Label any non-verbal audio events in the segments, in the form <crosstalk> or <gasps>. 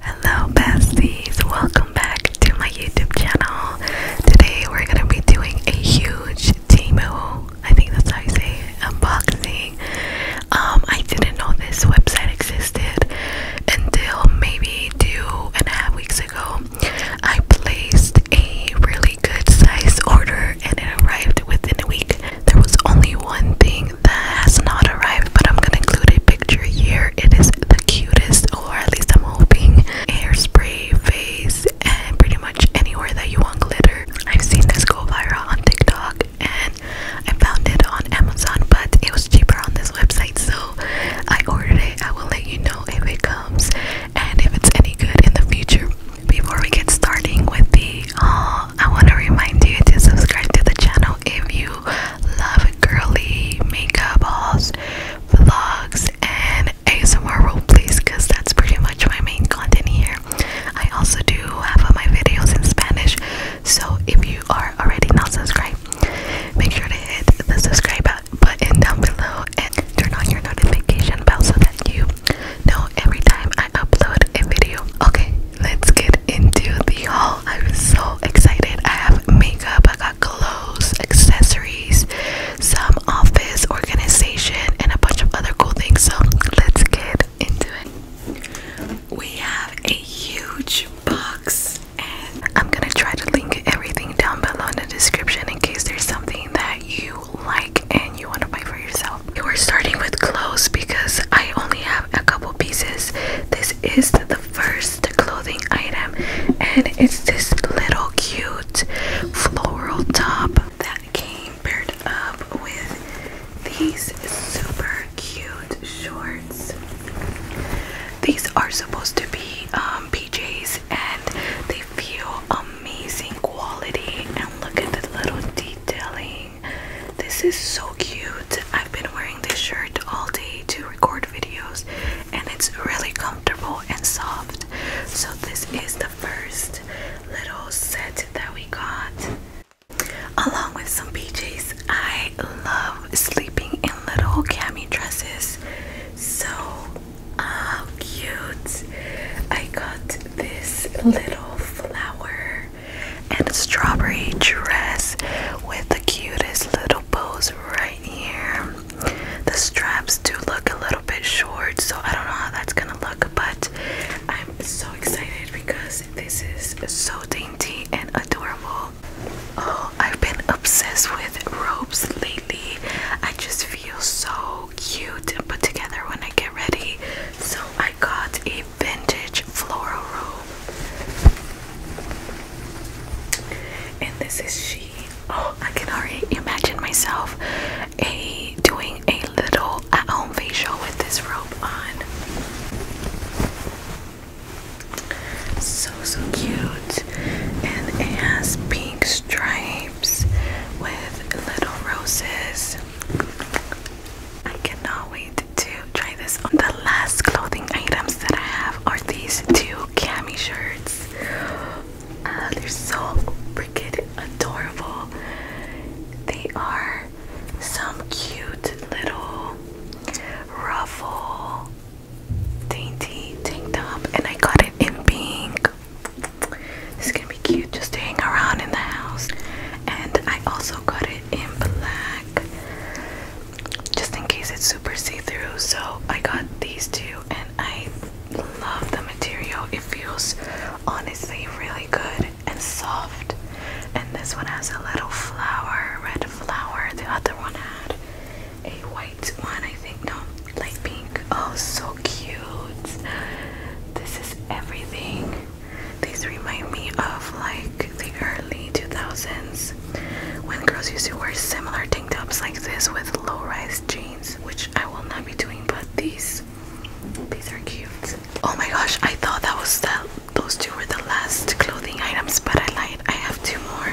Hello, besties! Welcome back to my YouTube channel. Today, we're gonna be doing a huge Timu. I think that's how you say unboxing. Um, I didn't know this website existed until maybe two and a half weeks ago. I placed a really good size order and it arrived within a week. There was only one thing that has not arrived, but I'm gonna include a picture here. It is the cutest, or at least I'm hoping, hairspray face and pretty much anywhere that you want glitter. I've seen this go viral on TikTok and I found it on Amazon, but it was cheaper on this website, so I ordered it. I will let you know if it comes and if it's any good in the future. Before we get starting with the haul, uh, I want to remind you to subscribe to the channel if you love girly makeup hauls, vlogs, and ASMR role plays because that's pretty much my main content here. I also do half of my videos in Spanish, so if you are already not subscribed, make sure to hit the subscribe button button down below and turn on your notification bell so that you know every time I upload a video. Okay, let's get into the haul. I'm so excited. I have makeup, I got clothes, accessories, some office organization, and a bunch of other cool things. So let's get into it. We have a huge box, and I'm gonna try to link everything down below in the description in case there's something that you like and you want to buy for yourself. We're starting with clothes because I only have a couple pieces. This is the first clothing item, and it's this little cute floral top that came paired up with these super cute shorts. These are supposed to be um, PJs, and they feel amazing quality and look at the little detailing. This is so cute. I've been wearing this shirt all day to record videos and it's really comfortable and soft. So this is the first little set that we got. Along with some PJs, I love sleeping in little cami dresses. So how cute! I got this little flower and strawberry dress with the cutest little bows right here. The straps do look a little bit short, so I don't know how that's gonna look, but I'm so excited because this is so dainty and adorable. Oh, I've been obsessed with robes lately. I just feel feel so cute and put together when I get ready. So I got a vintage floral robe. And this is she. Oh, I can already imagine myself a doing a little at-home facial with this robe on. So so cute and it has pink stripes with little roses. I cannot wait to try this on. The last clothing items that I have are these two cami shirts. Uh, they're so freaking adorable. They are some cute little ruffle dainty tank top and I got it in pink. This is gonna be cute just to hang around in the house. And I also got it in black just in case it's super see-through. So I got these two and I love the material. It feels honestly really good and soft. And this one has a little flower, red flower. The other one had a white light one, I think. No, light pink. Oh, so cute. This is everything. These remind me of like the early 2000s when girls used to wear similar tank tops like this with low rise jeans, which I will not be doing, but these. These are cute. Oh my gosh, I thought that was the those two were the last clothing items, but I lied. I have two more.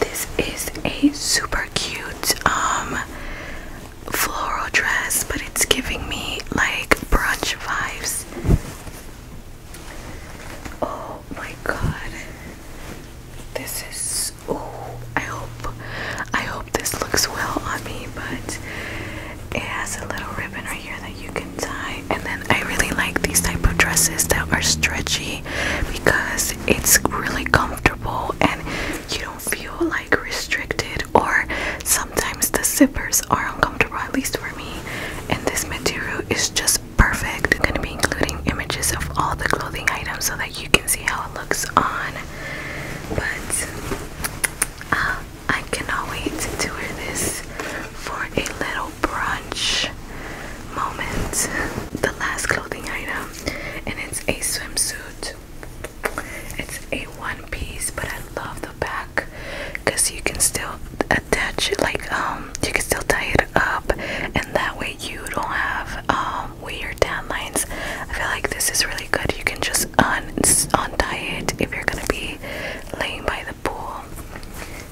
This is a super cute um, floral dress, but it's giving me like brunch vibes. Oh my god. This is oh I hope I hope this looks well on me, but it has a little ribbon right here that you can tie. And then I really like these type of dresses that are stretchy because it's really comfortable and you don't feel like restricted or sometimes the zippers are uncomfortable at least for me and this material is just perfect. I'm gonna be including images of all the clothing items so that you can see how it looks on. But uh, I cannot wait to wear this for a little brunch moment, the last clothing item, and it's a swimsuit. It's a one piece, but I love the back because you can still attach it, like, um, you can still tie it up, and that way you don't have, um, weird tan lines. I feel like this is really good. You can just un untie it if you're gonna be laying by the pool.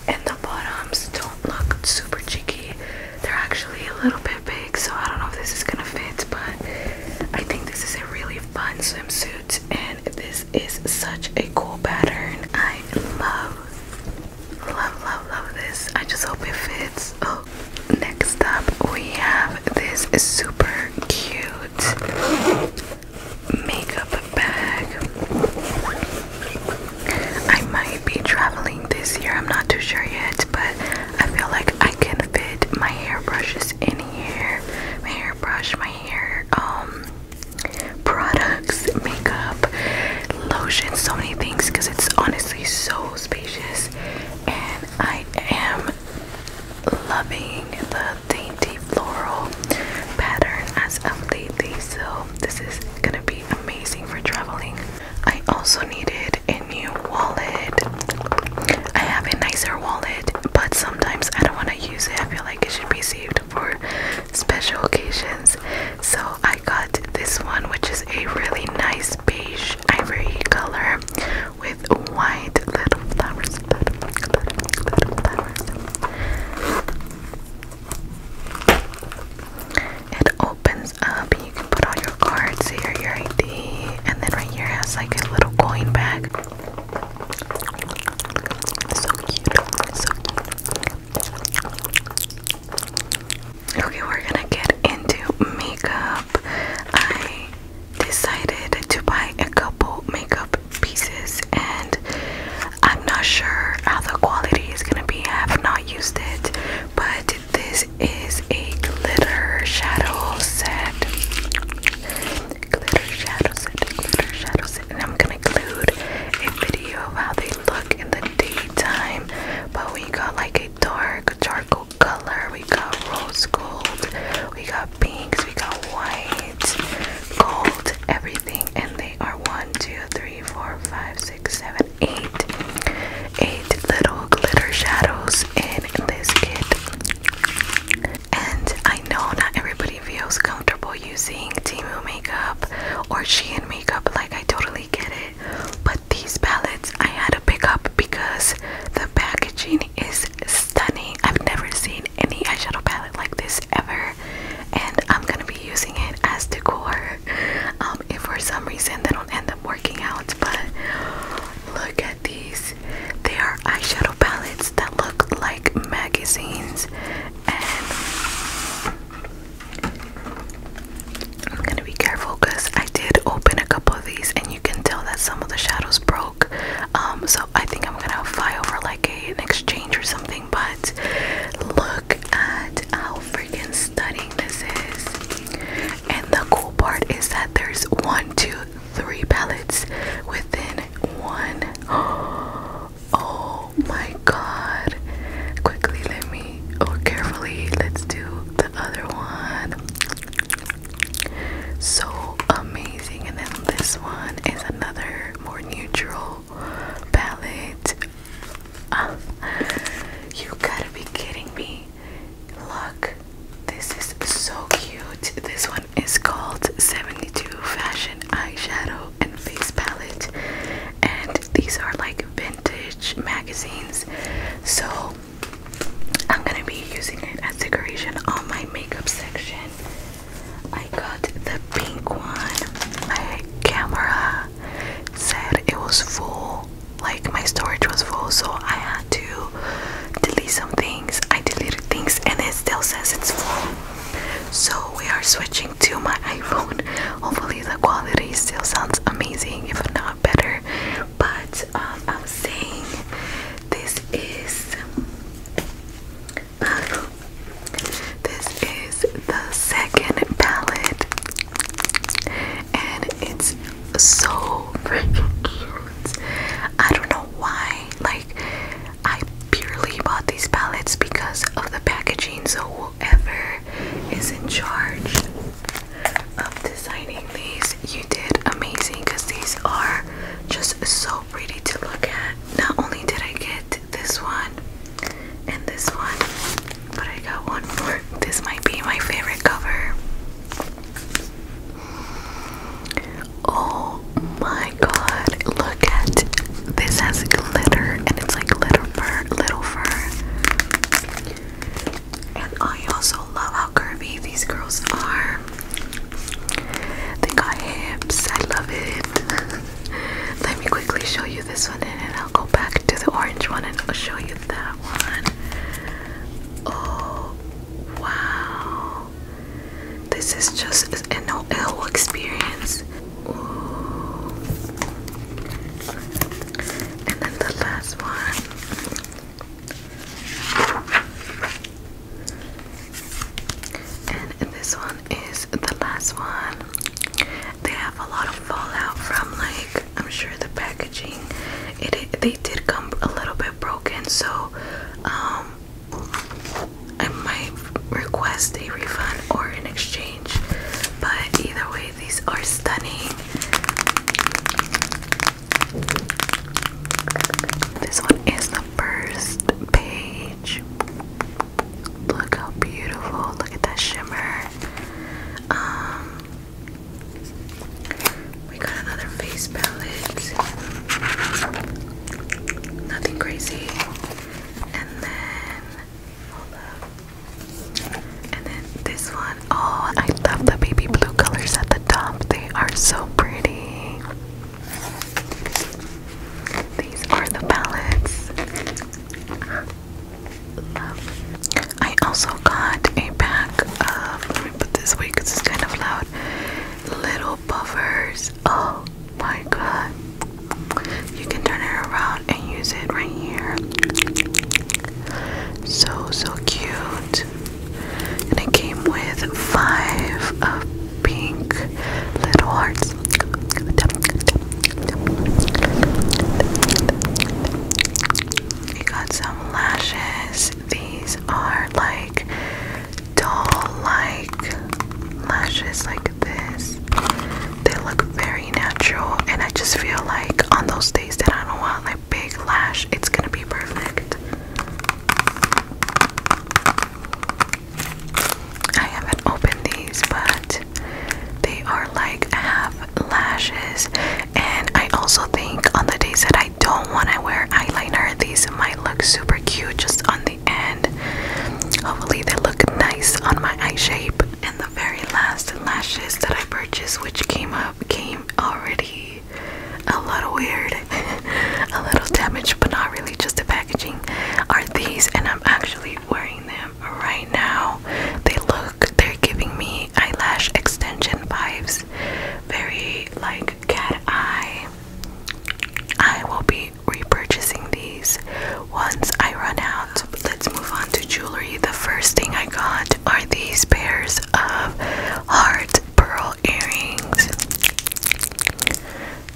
And the bottoms don't look super cheeky, they're actually a little bit big, so I don't know if this is gonna fit, but I think this is a really fun swimsuit, and this is such a cool pattern. I love, love, love, love this. I just hope it fits. Oh, next up we have this super cute makeup bag. I might be traveling this year, I'm not too sure yet, but I feel like I can fit my hairbrushes in here. My hairbrush, my hair, um, products, makeup, lotion, so many things because it's honestly so spacious and I am loving the dainty floral pattern as of lately so this is gonna be amazing for traveling I also needed a new wallet. I have a nicer wallet, but sometimes I don't want to use it. I feel like it should be saved for special occasions. So I got this one, which is a really nice beige ivory color with white little flowers. It opens up and you can put all your cards here, your ID, and then right here has like a little coin bag. So cute, so cute. Okay, we're gonna get into makeup. I decided to buy a couple makeup pieces and I'm not sure how the quality is gonna be. I have not used it but this is a glitter shadow set. Glitter shadow set, glitter shadow set, and I'm gonna include a video of how they look in the daytime. But we got like a dark charcoal color, we got rose gold, we got pinks, we got white, gold, everything, and they are one, two, three, four, five, six six, seven, eight, eight little glitter shadows in this kit. And I know not everybody feels comfortable using Timu makeup or Shein makeup, like I totally get it. But these palettes I had to pick up because the packaging is stunning. I've never seen any eyeshadow palette like this ever and I'm gonna be using it as decor. Um, if for some reason they don't end up working out, but look at these. They are eyeshadow palettes that look like magazines, and I'm gonna be careful because I did open a couple of these, and you can tell that some of the shadows broke. Um, so I think I'm gonna fly over like an exchange or something but look at how freaking stunning this is. And the cool part is that there's one, two, three palettes within one. <gasps> Oh my god. Quickly, let me, or carefully, let's do the other one. So amazing. And then this one is another more neutral palette. <laughs> you gotta be kidding me. Look, this is so cute. This one is called 72 Fashion Eyeshadow and Face Palette, and these are like vintage magazines. So, I'm gonna be using it as decoration on my makeup section. I got the pink one, my camera said it was full like my storage was full so i had to delete some things i deleted things and it still says it's full so we are switching to my <laughs> iphone hopefully the quality still sounds amazing if not better but um, i'm saying this is uh, this is the second palette, and it's so freaking cute. I don't know why, like, I purely bought these palettes because of the packaging. So, whoever is in charge of designing these, you did amazing because these are just so pretty to look at. Not only did I get this one, and this one, but I got one more. This might be my favorite cover. Oh my god, look at this has glitter and it's like little fur, little fur. And I also love how curvy these girls are. They got hips, I love it. <laughs> Let me quickly show you this one in and I'll go back to the orange one and I'll show you that one. Oh wow. This is just an experience. And then the last one. And this one is the last one. They have a lot of fallout from like I'm sure the packaging. It, they did come a little bit broken, so um I might request a refund or an exchange. But either way, these are stunning. This one is the first page. Look how beautiful. Look at that shimmer. Um, we got another face palette. Nothing crazy. And then hold up. And then this one. Oh, I love the baby blue colors at the top. They are so pretty. These are the palettes. I also got a pack of, put this away it's kind of loud, little buffers. Oh my god. You can turn it around and use it right here. So, so cute. And it came with five of pink little hearts you got some lashes. These are like doll like lashes like this. They look very natural and I just feel like on those days that I don't want like big lash, it's gonna be perfect. I haven't opened these, but they are like half lashes. And I also think on the days that I don't want to wear eyeliner, these might look super cute just on the end. Hopefully, they look nice on my eye shape. And the very last lashes that I purchased, which came up, came already a little weird, <laughs> a little damaged, but not really just the packaging, are these. And I'm actually be wearing them right now. They look, they're giving me eyelash extension vibes. Very like cat eye. I will be repurchasing these once I run out. Let's move on to jewelry. The first thing I got are these pairs of heart pearl earrings.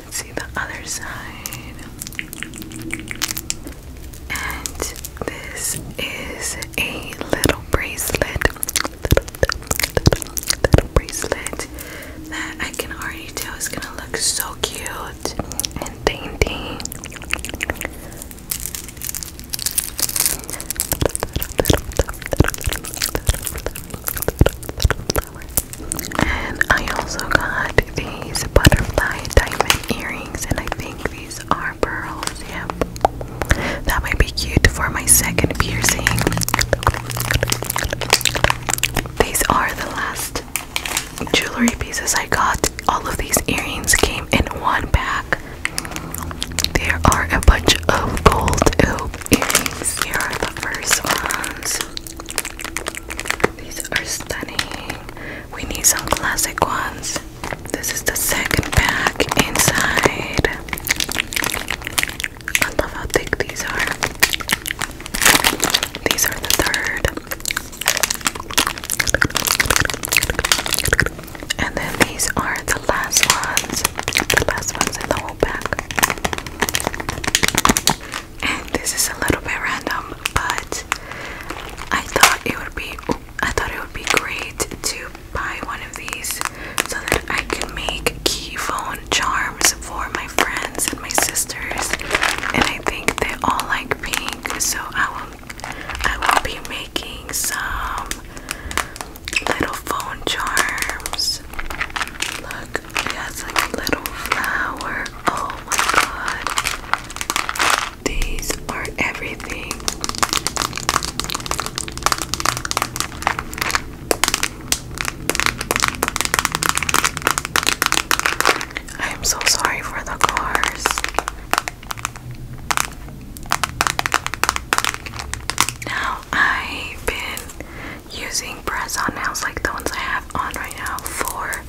Let's see the other side. And this is a little bracelet. Little, bracelet that I can already tell is gonna look so cute and dainty. And I also got these butterfly diamond earrings, and I think these are pearls. Yep. That might be cute for my second piercing. These are the last jewelry pieces I got. All of these earrings came in one pack. There are a bunch of gold earrings. Here are the first ones. These are stunning. We need some classic ones. This is the second pack inside. I love how thick these are. These are the third. And then these are the last ones. The last ones in the whole pack and <laughs> this is a little bit random, but I thought it would be I thought it would be great to buy one of these so that I can make key phone charms for my friends and my sisters, and I think they all like pink, so I will I will be making some little phone charms it has like a little flower. Oh my god. These are everything. I am so sorry for the cars. Now I've been using press on nails like the ones I have on right now for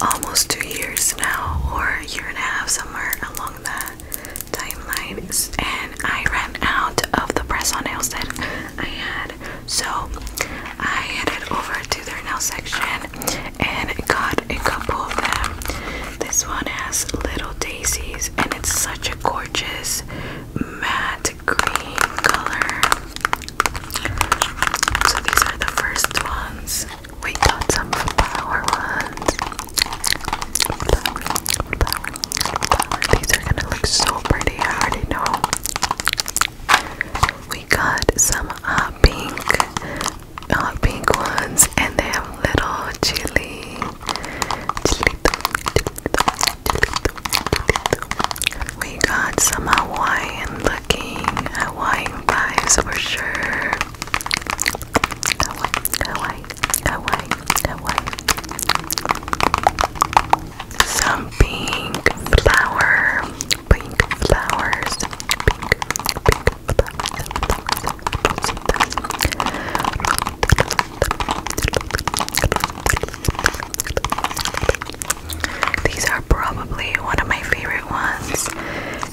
almost two years now, or a year and a half, somewhere along the timeline. And I ran out of the press on nails that I had, so I headed over to their nail section and got a couple of them. This one has little daisies, and it's such a gorgeous matte green color. So these are the first ones. We got some flower ones. Flower, These are gonna look so pretty, I already know. We got some uh, pink, uh, pink ones, and they have little chili, chili, we got some Hawaiian looking Hawaiian vibes for sure. Hawaii, Hawaii, Hawaii, Hawaii. Some pink flower, pink flowers, pink, pink flowers. These are probably one of my favorite ones,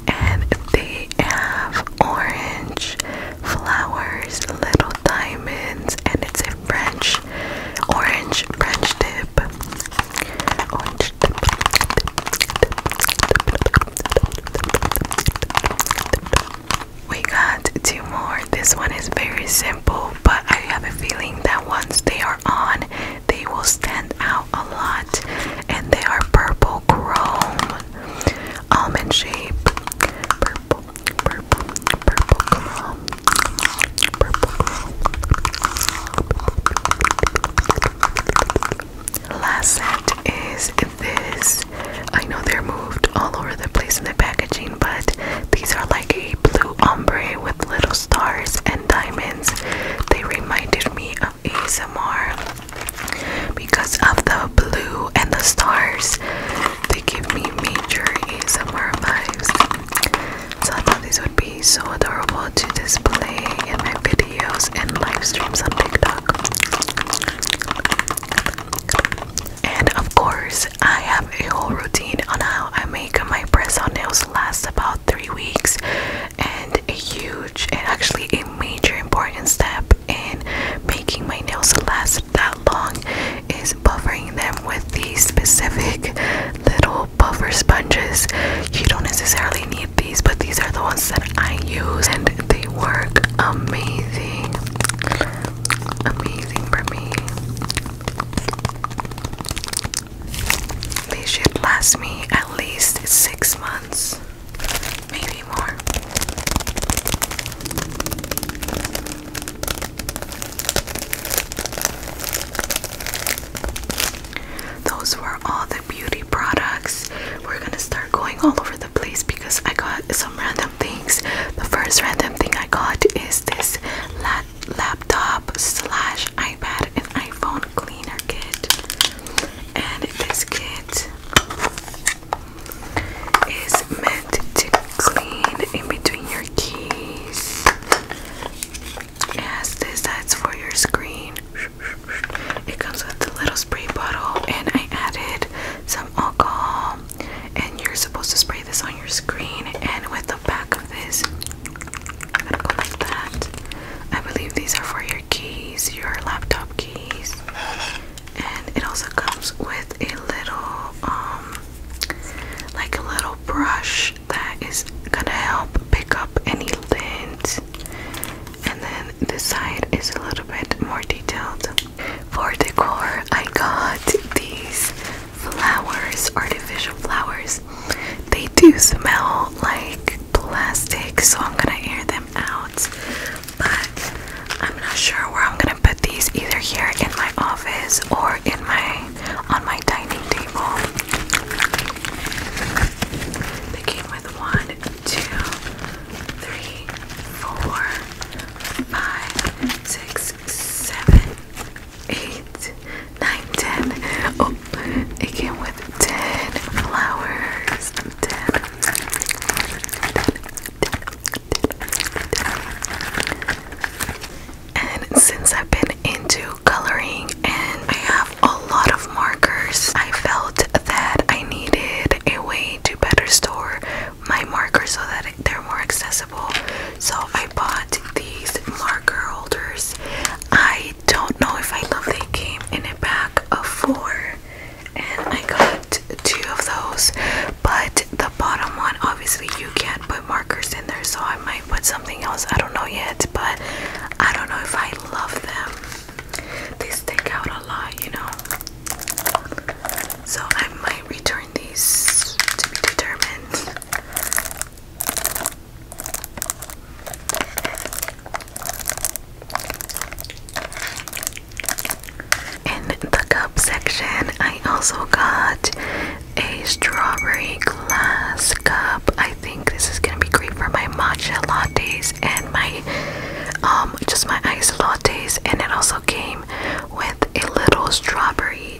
and they have orange flowers, little diamonds, and it's a French orange French dip. We got two more this one is very simple, but I have a feeling that once they are on, they will stand out a lot. And they are purple chrome, almond shape, purple, purple, purple chrome, purple chrome. Last set is this. I know they're moved all over the place in the packaging, but these are like a blue ombre with little stars and diamonds. They reminded me of ASMR because of the blue and the stars. They give me major ASMR vibes. So I thought these would be so adorable to display in my videos and live streams on TikTok. And of course, I have a whole routine on how I make my press on nails last about three weeks, and a huge and actually a major important step in making my nails last that long is buffing them with these specific little buffer sponges. You don't necessarily need these, but these are the ones that I use, and they work amazing. Amazing for me. They should last me at least six months, maybe more. Those were all the beauty products. We're gonna start going all over the place because I got some random things. The first random thing I got is this lat laptop slash iPad and iPhone cleaner kit. And this kit is meant to clean in between your keys. Yes, this that's for your screen. It comes with a little spray bottle, and I added some alcohol and you're supposed to spray this on your screen and with the back of this i believe these are for your keys, your laptop keys. And it also comes with a little um like a little brush that is gonna help pick up any lint. And then this side is a little bit more detailed. For decor, I got these flowers, artificial flowers, they do smell like plastic, so I'm gonna air them out. But I'm not sure where I'm gonna put these either here in my office or in my on my dining table. They came with one, two, three, four, five, six, seven, eight, nine, ten. Oh, it came with ten flowers. Ten. And since I've been into coloring and I have a lot of markers, I felt that I needed a way to better store my markers so that they're more accessible. So I bought these marker holders. I don't know if I love they came in a pack of four, and I got two of those. But the bottom one, obviously, you can't put markers in there, so I might put something else. I don't know yet, but I don't know if I love them. They stick out a lot, you know. So I might return these to be determined. In the cup section, I also got a strawberry glass cup. I think this is gonna be great for my matcha lattes and my um just my iced lattes and it also came with a little strawberry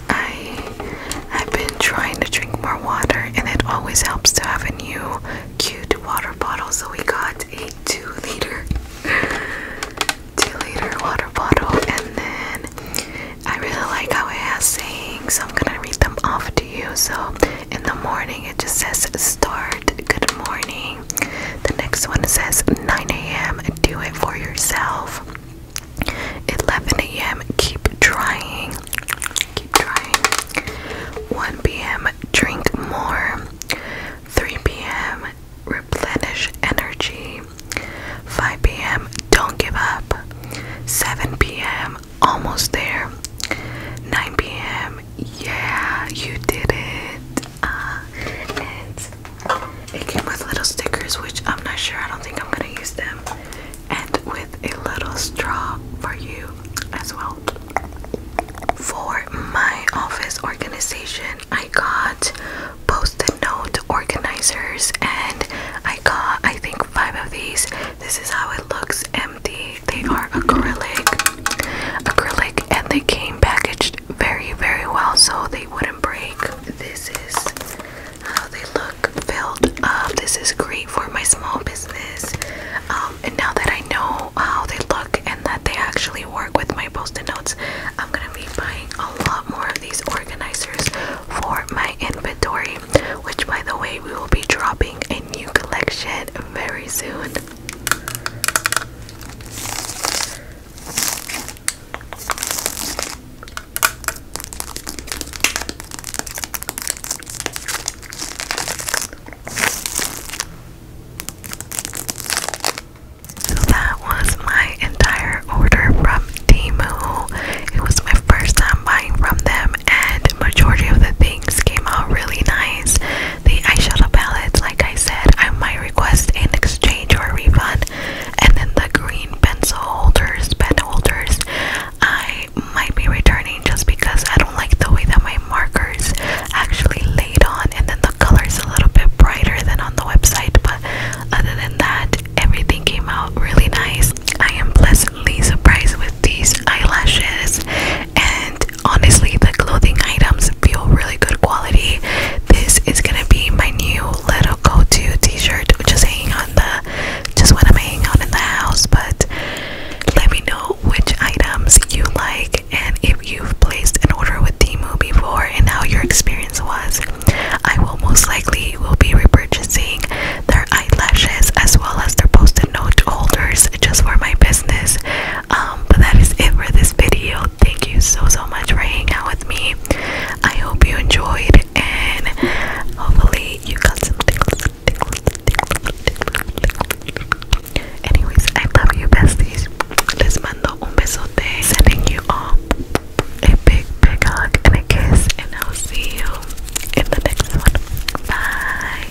I have been trying to drink more water, and it always helps to have a new cute water bottle. So we got a two liter, two liter water bottle, and then I really like how it has saying. So I'm gonna read them off to you. So in the morning, it just says start. Good morning. The next one says 9 a.m. Do it for yourself. 11 a.m. Keep trying. Keep trying. 1 p.m. Drink more. 3 p.m. Replenish energy. 5 p.m. Don't give up. 7 p.m. Almost there. 9 p.m. Yeah, you did it. Uh, and it came with little stickers, which I'm not sure, I don't think I'm gonna use them, and with a little straw for you as well. For my office organization, I got post-it note organizers and I got I think five of these. This is how it looks empty. They are acrylic acrylic and they came packaged very very well so they wouldn't break. This is how they look filled up. This is great for my small business. Um, and now that I know how they look and that they actually work with my post-it notes, I'm gonna be buying a lot more of these organizers for my inventory, which by the way, we will be dropping a new collection very soon. So that was my entire order from Temu. It was my first time buying from them, and majority of the things came out really nice. The eyeshadow palettes, like I said, I might request an exchange or refund and then the green pencil holders, pen holders, I might be returning just because I don't like the way that my markers actually laid on. And then the color is a little bit brighter than on the website, but other than that, everything came out really nice. I am pleasantly surprised with these eyelashes, and honestly, the clothing items feel really good quality. This is gonna be my new little go to t-shirt which hanging on the just when I'm hanging out in the house but let me know which items you like and if you've placed an order with Temu before and how your experience was. I will most likely will be repurchasing their eyelashes as well as their post-it note holders just for my business. Um, but that is it for this video. Thank you so so much for hanging out with me. I hope you enjoyed, and hopefully, you got something. Anyways, I love you, besties. Les mando un besote. Sending you all a big, big hug and a kiss, and I'll see you in the next one. Bye.